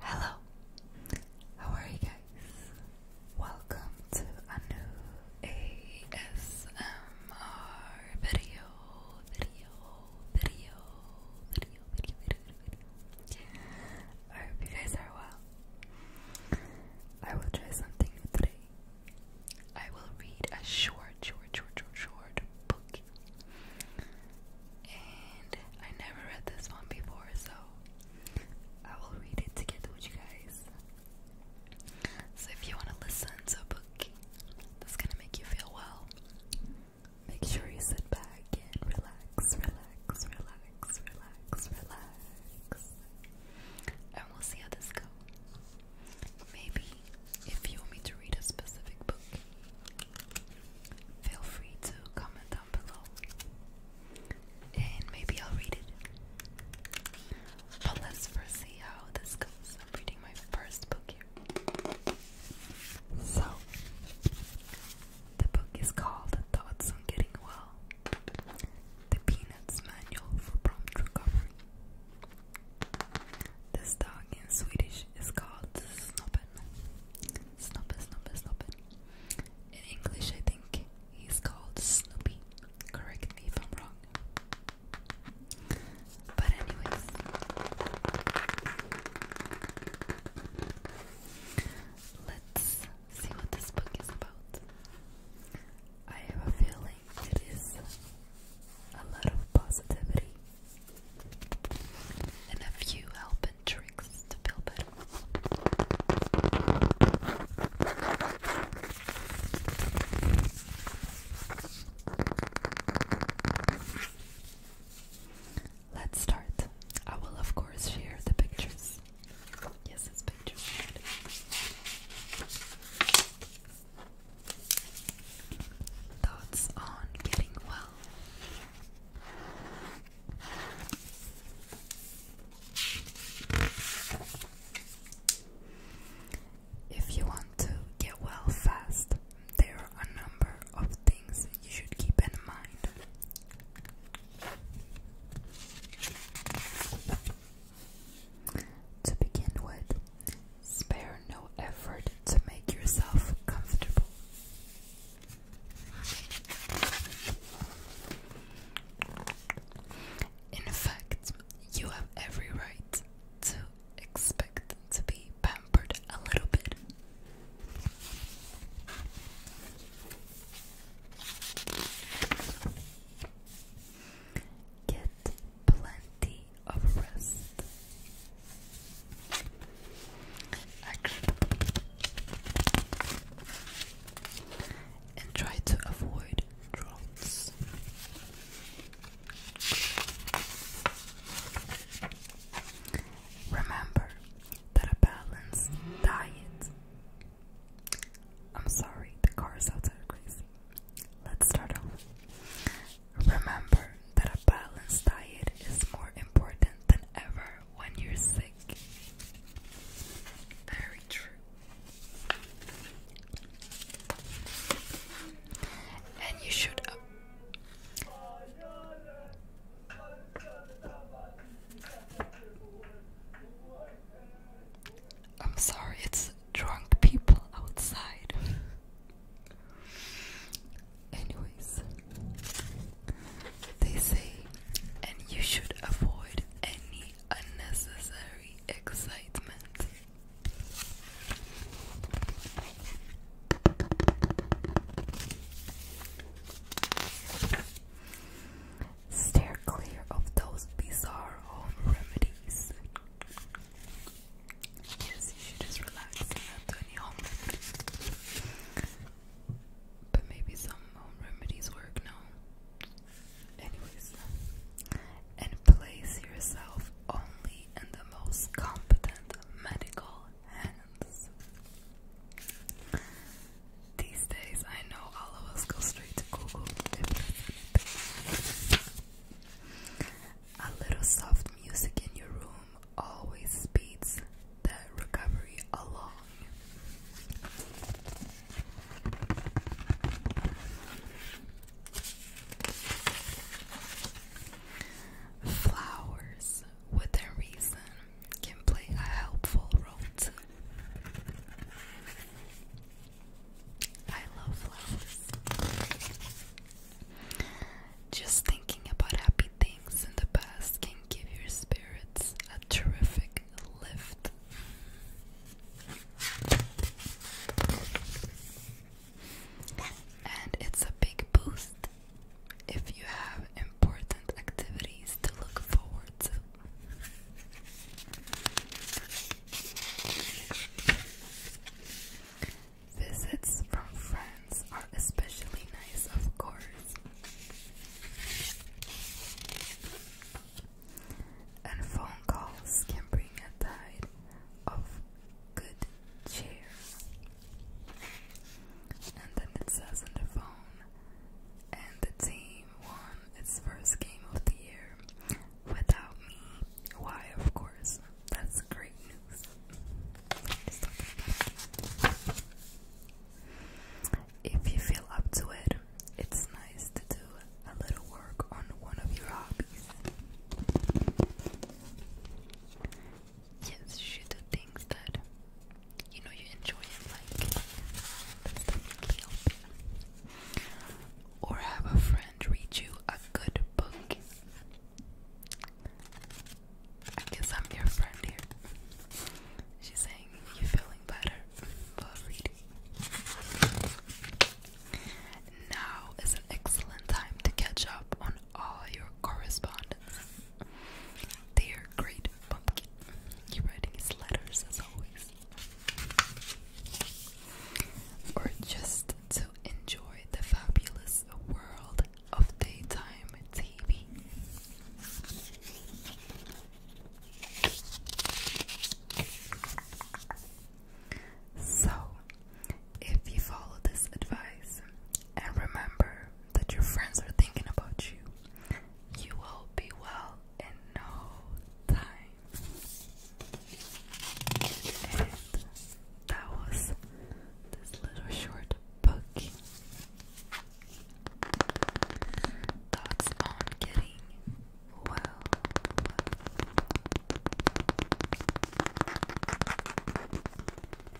Hello, how are you guys? Welcome to a new ASMR video, video, video, video, video, video. I hope you guys are well. I will try something new today. I will read a short, short, short, short book. And I never read this one before, so I will read it together with you guys. So if you want to listen to a book that's gonna make you feel well, Make sure you sit back and relax, relax, relax, relax, relax. And we'll see how this goes. Maybe if you want me to read a specific book, feel free to comment down below. And maybe I'll read it. But let's first see how this goes. I'm reading my first book here. So, the book is called Thoughts on Getting Well The Peanuts Manual for Prompt Recovery. This dog in Swedish is called Snoppen. Snoppen, Snoppen, Snoppen. In English, I think he's called Snoopy. Correct me if I'm wrong. But anyways, Let's see what this book is about. I have a feeling it is a lot of positivity and a few help tricks to feel better. Let's start. I will, of course, share the pictures. Yes, it's pictures. Thoughts on getting well. If you want to get well fast, there are a number of things you should keep in mind. To begin with, spare no effort to make yourself comfortable. In fact, you have every right to expect to be bad a little bit. Get plenty of rest. And try to avoid droughts. Remember, that a balanced diet. I'm sorry, the car is outside are crazy. Let's start off. Remember that a balanced diet is more important than ever when you're sick. Very true. And you should. I'm sorry, it's drunk people outside. Anyways, they say, and you should avoid any unnecessary excitement. Stare clear of those bizarre home remedies. Yes, you should just relax and But maybe some home remedies work, no? Anyways. And place yourself only in the most competent medical and friends. These days, I know all of us go straight to Google A little soft music in your room always speeds that recovery along. Flowers within reason can play a helpful role too. I love flowers. Just thinking about happy things in the past can give your spirits a terrific lift. And it's a big boost if you have important activities to look forward to. Visits from friends are especially nice, of course. And phone calls can bring a tide of good cheer. And then it says on the phone, and the team won its first game of the year without me. Why, of course. That's great news. If you feel up to it, it's nice to do a little work on one of your hobbies. Yes, you should do things that you know you enjoy and like. That's definitely helping. Or have a friend read you a good book. I guess I'm your friend here. She's saying you're feeling better while reading. Now is an excellent time to catch up on all your correspondence. Dear Great Pumpkin, you're writing his letters as always. Or just to enjoy the fabulous world of daytime TV. So, if you follow this advice and remember that your friends are thinking about you. You will be well in no time. And that was this little short book. Thoughts on getting well.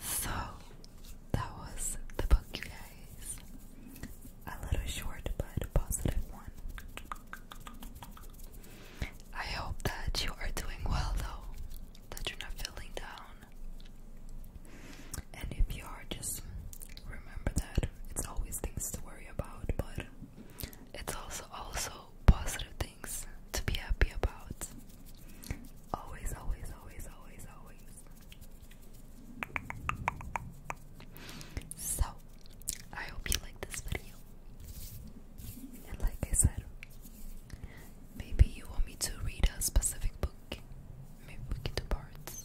So that was the book, you guys. A little short but one. I hope that you are doing well though, that you're not feeling down. And if you are, just remember that it's always things to worry about, but it's also also positive things to be happy about. Always, always, always, always, always. So, I hope you like this video. And like I said, maybe you want me to read a specific book. Maybe we can do parts.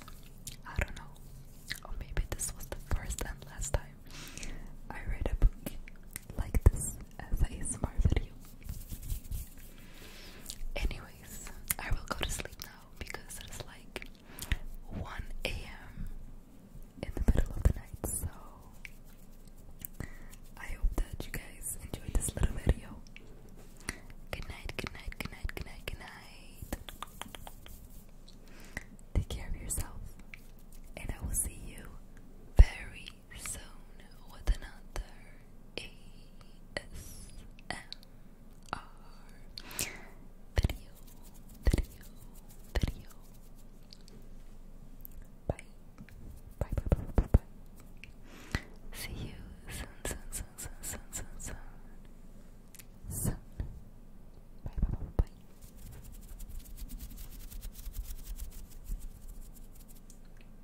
I don't know. Or maybe this was the first and last time I read a book like this as a smart video. Anyways, I will go to sleep now because it is like 1 a.m. in the middle of the night. So I hope that you guys enjoyed this little video. Good night, good night, good night, good night, good night. Take care of yourself, and I will see you very zone with another ASMR video, video, video. Bye. Bye, bye, bye, bye, bye. See you soon, soon, soon, soon, soon, soon, soon. Soon. Bye, bye, bye, bye. bye.